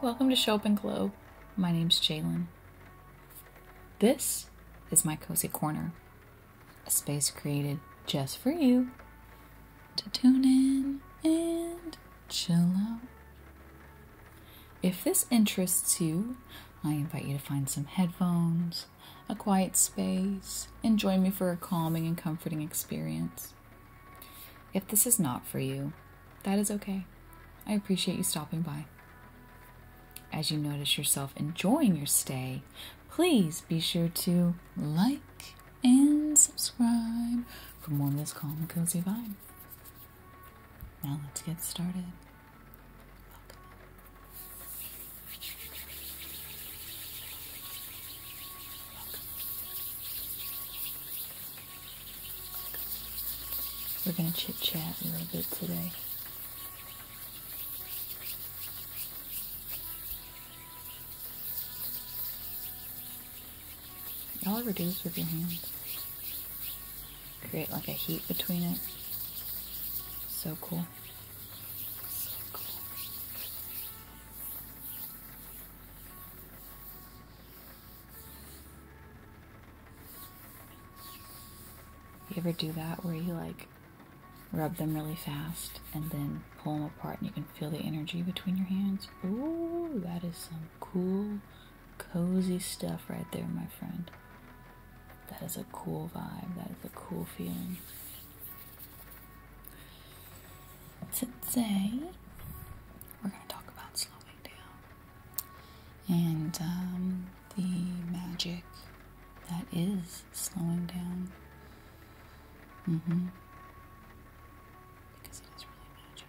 Welcome to Show Up and Glow. My name's Jalen. This is my cozy corner, a space created just for you to tune in and chill out. If this interests you, I invite you to find some headphones, a quiet space, and join me for a calming and comforting experience. If this is not for you, that is okay. I appreciate you stopping by. As you notice yourself enjoying your stay, please be sure to like and subscribe for more of this calm and cozy vibe. Now let's get started. We're going to chit chat a little bit today. you All ever do is with your hands create like a heat between it. So cool. So cool. You ever do that where you like rub them really fast and then pull them apart and you can feel the energy between your hands? Ooh, that is some cool Cozy stuff right there, my friend. That is a cool vibe. That is a cool feeling. Today, we're going to talk about slowing down and um, the magic that is slowing down. Mm hmm. Because it is really magic.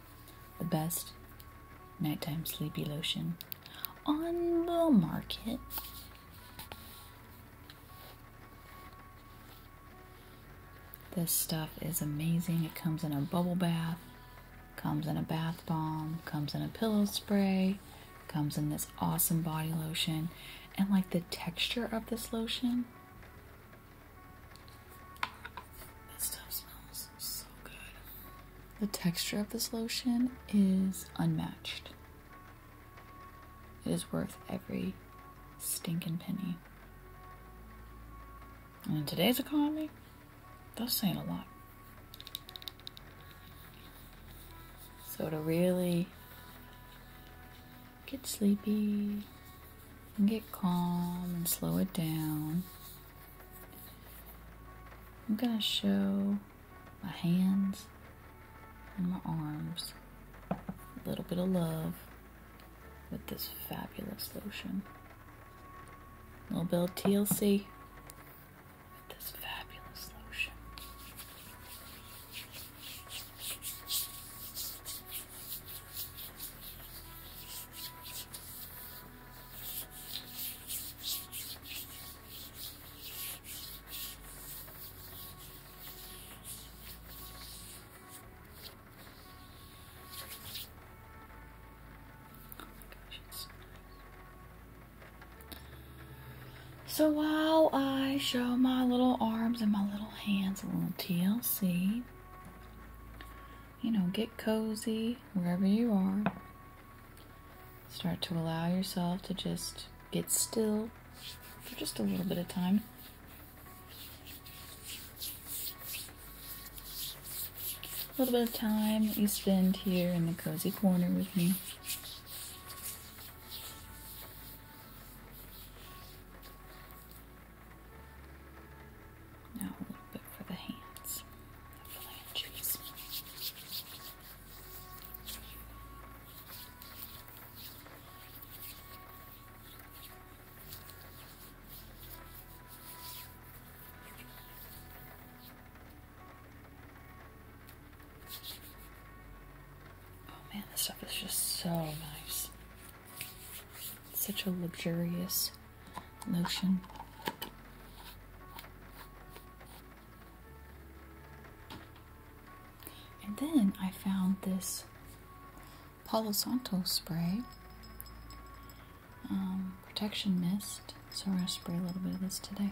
the best nighttime sleepy lotion on the market. This stuff is amazing. It comes in a bubble bath, comes in a bath bomb, comes in a pillow spray, comes in this awesome body lotion, and like the texture of this lotion this stuff smells so good. The texture of this lotion is unmatched. It is worth every stinking penny. And in today's economy, that's saying a lot. So to really get sleepy, and get calm and slow it down. I'm going to show my hands and my arms a little bit of love with this fabulous lotion. A little bit TLC with this fabulous lotion. So while I show my little arms and my little hands a little TLC, you know, get cozy wherever you are. Start to allow yourself to just get still for just a little bit of time. A little bit of time you spend here in the cozy corner with me. Now a little bit for the hands, the phalanges. Oh man, this stuff is just so nice such a luxurious lotion. And then I found this Palo Santo spray, um, protection mist. So we're going to spray a little bit of this today.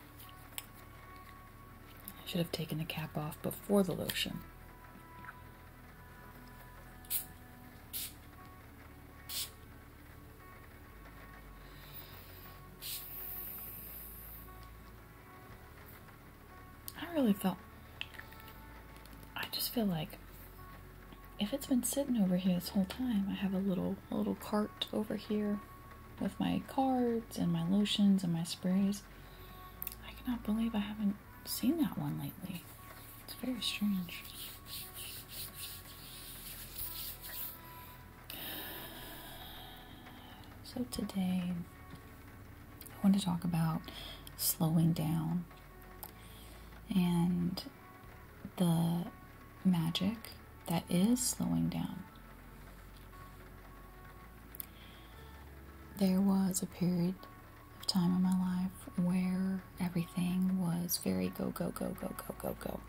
I should have taken the cap off before the lotion. I really felt. I just feel like if it's been sitting over here this whole time, I have a little little cart over here with my cards and my lotions and my sprays. I cannot believe I haven't seen that one lately. It's very strange. So, today I want to talk about slowing down and the magic that is slowing down. There was a period of time in my life where everything was very go, go, go, go, go, go, go.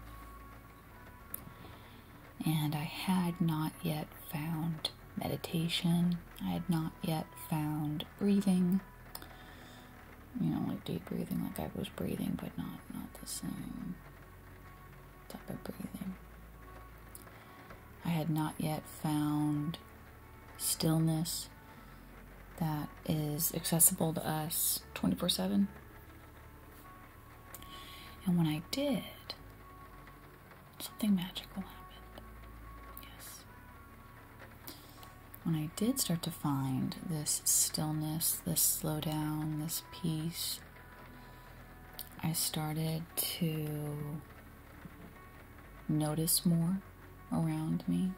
And I had not yet found meditation, I had not yet found breathing. You know, like deep breathing, like I was breathing, but not not the same type of breathing. I had not yet found stillness that is accessible to us 24 7. And when I did, something magical happened. Yes. When I did start to find this stillness, this slowdown, this peace, I started to notice more around me.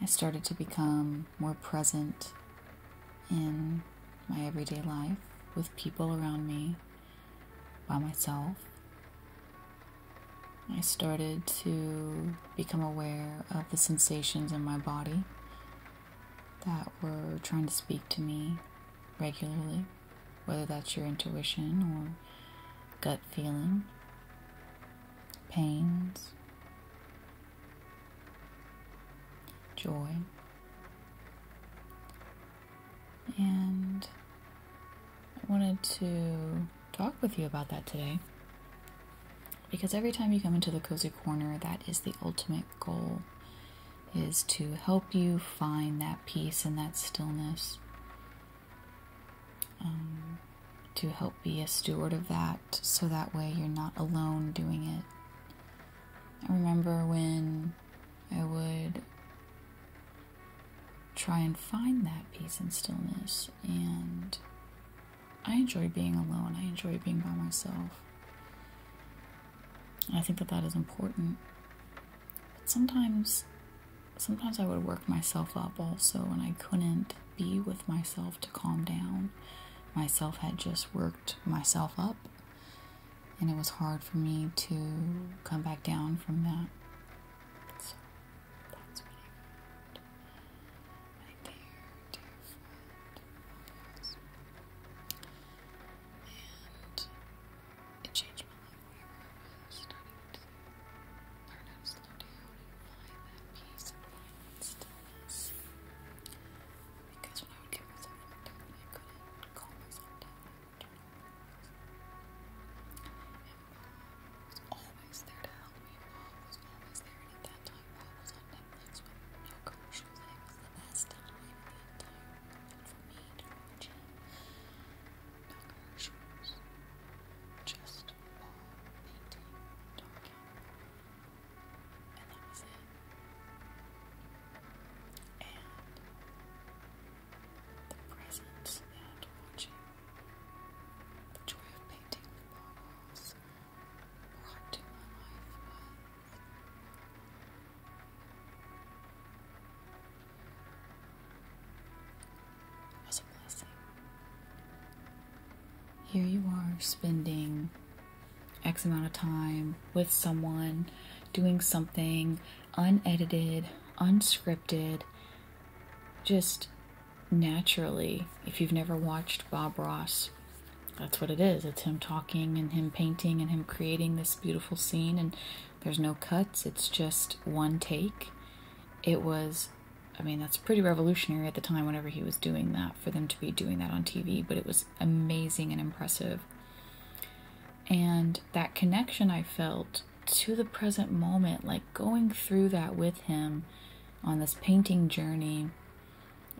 I started to become more present in my everyday life with people around me, by myself. I started to become aware of the sensations in my body that were trying to speak to me regularly whether that's your intuition or gut feeling, pains, joy, and I wanted to talk with you about that today because every time you come into the cozy corner, that is the ultimate goal is to help you find that peace and that stillness, um, to help be a steward of that so that way you're not alone doing it. I remember when I would try and find that peace and stillness, and I enjoy being alone, I enjoy being by myself. I think that that is important. But sometimes, sometimes I would work myself up also, and I couldn't be with myself to calm down. Myself had just worked myself up, and it was hard for me to come back down from that it changed my life, forever. it was, not to learn how to find that peace find stillness. Because when I would get myself I couldn't calm myself and Bob was always there to help me. Bob was always there, and that time, Bob was on Netflix with no commercials. It was the best time. The entire for me to watch it. No just wall painting, talking, and that was it. And the presence that watching, the joy of painting the walls brought my life was a blessing. Here you are spending X amount of time with someone, doing something unedited, unscripted, just naturally. If you've never watched Bob Ross that's what it is. It's him talking and him painting and him creating this beautiful scene, and there's no cuts. It's just one take. It was, I mean, that's pretty revolutionary at the time whenever he was doing that, for them to be doing that on TV, but it was amazing and impressive. And that connection I felt to the present moment, like going through that with him on this painting journey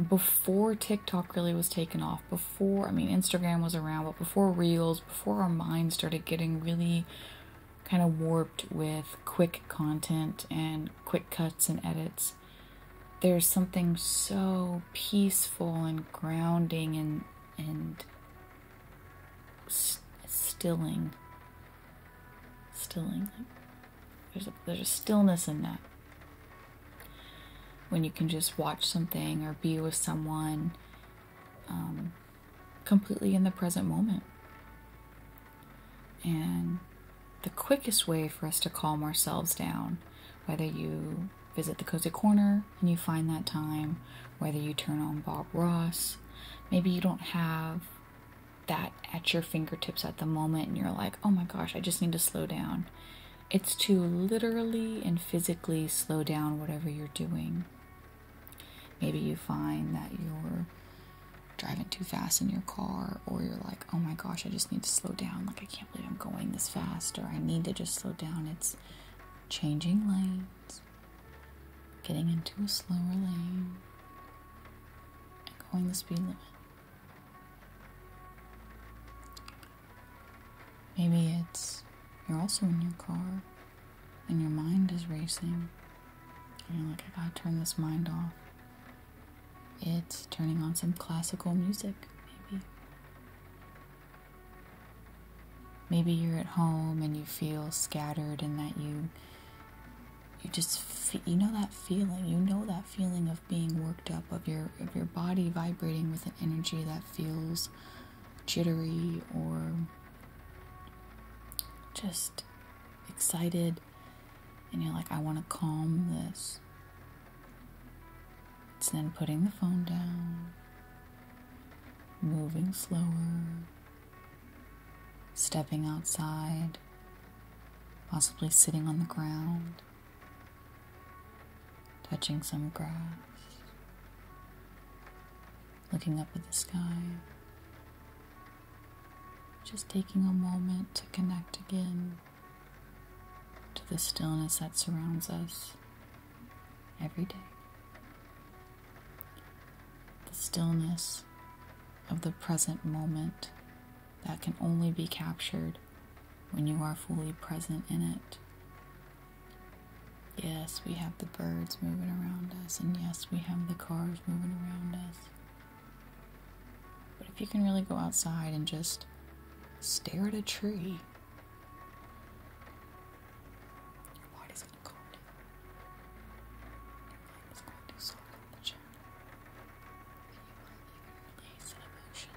before TikTok really was taken off, before, I mean, Instagram was around, but before Reels, before our minds started getting really kind of warped with quick content and quick cuts and edits, there's something so peaceful and grounding and, and stilling. Stilling. There's there's a stillness in that when you can just watch something or be with someone um, completely in the present moment. And the quickest way for us to calm ourselves down, whether you visit the cozy corner and you find that time, whether you turn on Bob Ross, maybe you don't have that at your fingertips at the moment and you're like, oh my gosh, I just need to slow down. It's to literally and physically slow down whatever you're doing. Maybe you find that you're driving too fast in your car, or you're like, oh my gosh, I just need to slow down. Like, I can't believe I'm going this fast, or I need to just slow down. It's changing lanes, getting into a slower lane, and going the speed limit. Maybe it's you're also in your car and your mind is racing. you're like, I gotta turn this mind off. It's turning on some classical music, maybe. Maybe you're at home and you feel scattered and that you you just you know that feeling. You know that feeling of being worked up, of your of your body vibrating with an energy that feels jittery or just excited and you're like I want to calm this. It's then putting the phone down, moving slower, stepping outside, possibly sitting on the ground touching some grass, looking up at the sky, just taking a moment to connect again to the stillness that surrounds us every day. The stillness of the present moment that can only be captured when you are fully present in it. Yes, we have the birds moving around us, and yes, we have the cars moving around us. But if you can really go outside and just stare at a tree, why does it call you? going to soften the channel. You might even release an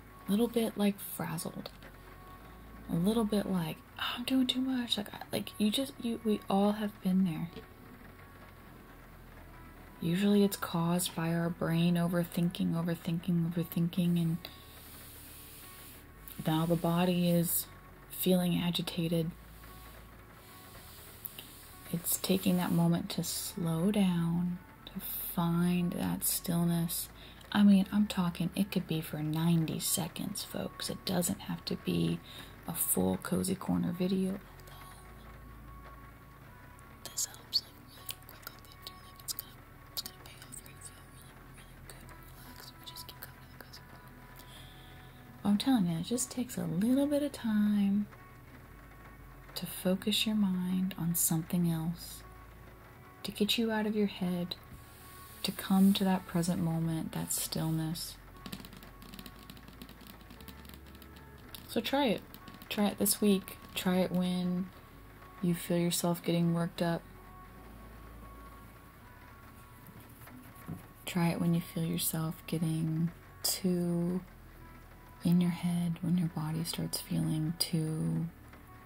a little bit like frazzled a little bit like oh, i'm doing too much like I, like you just you we all have been there usually it's caused by our brain overthinking overthinking overthinking and now the body is feeling agitated it's taking that moment to slow down to find that stillness I mean, I'm talking, it could be for 90 seconds, folks. It doesn't have to be a full Cozy Corner video. This helps like really quick on Like it's gonna it's gonna pay off you feel really, really good and We just keep coming to cozy corner. I'm telling you, it just takes a little bit of time to focus your mind on something else to get you out of your head, to come to that present moment, that stillness. So try it. Try it this week. Try it when you feel yourself getting worked up. Try it when you feel yourself getting too in your head, when your body starts feeling too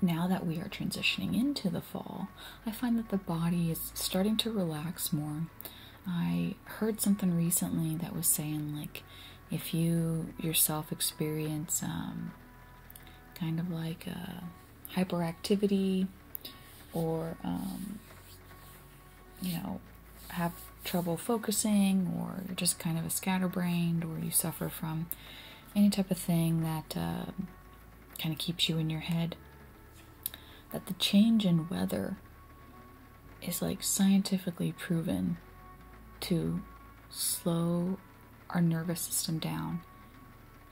now that we are transitioning into the fall, I find that the body is starting to relax more. I heard something recently that was saying, like, if you yourself experience um, kind of like hyperactivity or, um, you know, have trouble focusing or you're just kind of a scatterbrained or you suffer from any type of thing that. Uh, kind of keeps you in your head that the change in weather is like scientifically proven to slow our nervous system down.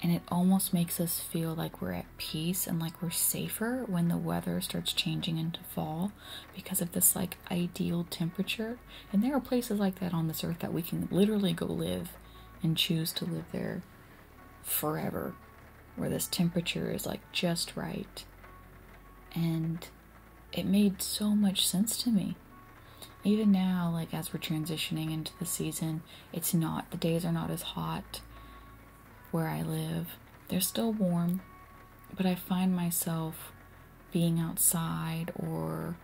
And it almost makes us feel like we're at peace and like we're safer when the weather starts changing into fall because of this like ideal temperature. And there are places like that on this earth that we can literally go live and choose to live there forever, where this temperature is like just right. And it made so much sense to me. Even now, like as we're transitioning into the season, it's not, the days are not as hot where I live. They're still warm, but I find myself being outside or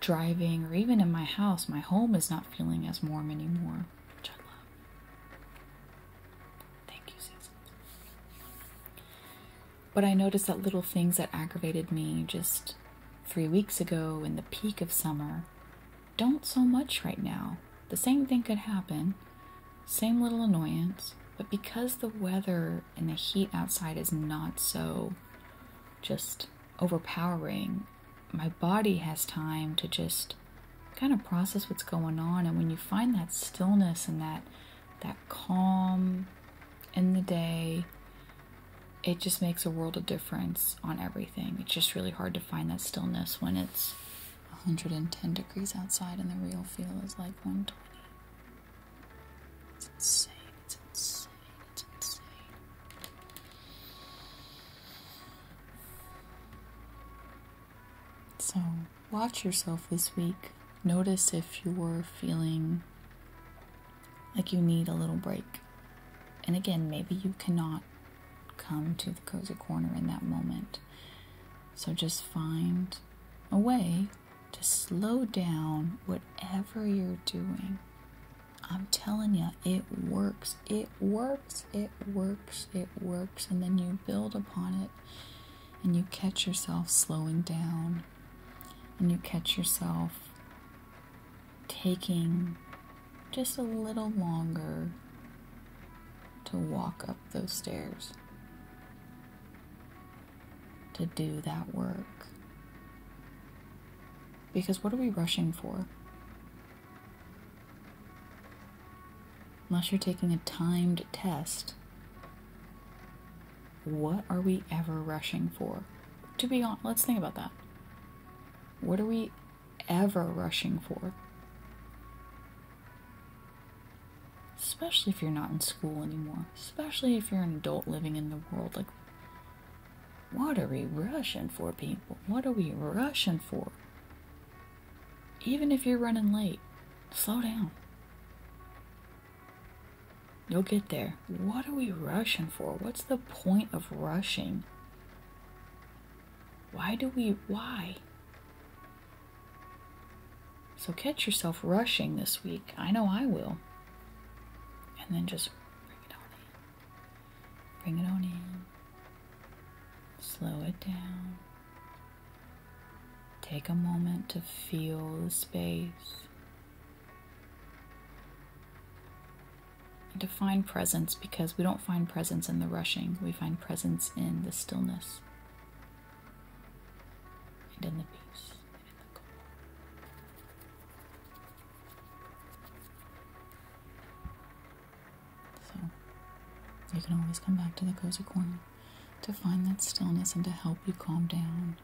driving, or even in my house. My home is not feeling as warm anymore, which I love. Thank you, Susan. But I noticed that little things that aggravated me just three weeks ago in the peak of summer don't so much right now. The same thing could happen, same little annoyance, but because the weather and the heat outside is not so just overpowering. My body has time to just kind of process what's going on and when you find that stillness and that that calm in the day it just makes a world of difference on everything it's just really hard to find that stillness when it's 110 degrees outside and the real feel is like 120 it's insane so, watch yourself this week. Notice if you are feeling like you need a little break. And again, maybe you cannot come to the cozy corner in that moment. So just find a way to slow down whatever you're doing I'm telling you, it works. It works. It works. It works. And then you build upon it and you catch yourself slowing down and you catch yourself taking just a little longer to walk up those stairs, to do that work, because what are we rushing for? Unless you're taking a timed test, what are we ever rushing for? To be honest, let's think about that. What are we ever rushing for? Especially if you're not in school anymore. Especially if you're an adult living in the world. Like, what are we rushing for, people? What are we rushing for? Even if you're running late, slow down. You'll get there. What are we rushing for? What's the point of rushing? Why do we, why? So catch yourself rushing this week. I know I will. And then just bring it on Bring it on in. Slow it down. Take a moment to feel the space. to find presence because we don't find presence in the rushing, we find presence in the stillness and in the peace and the calm. So, you can always come back to the cozy corner to find that stillness and to help you calm down.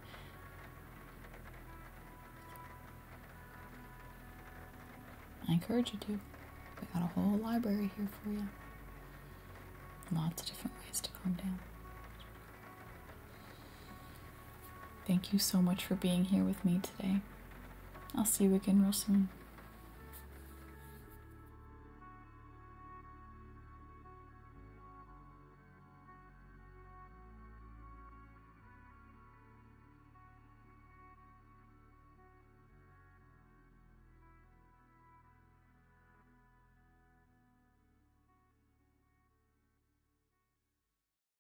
I encourage you to. We got a whole library here for you. Lots of different ways to calm down. Thank you so much for being here with me today. I'll see you again real soon.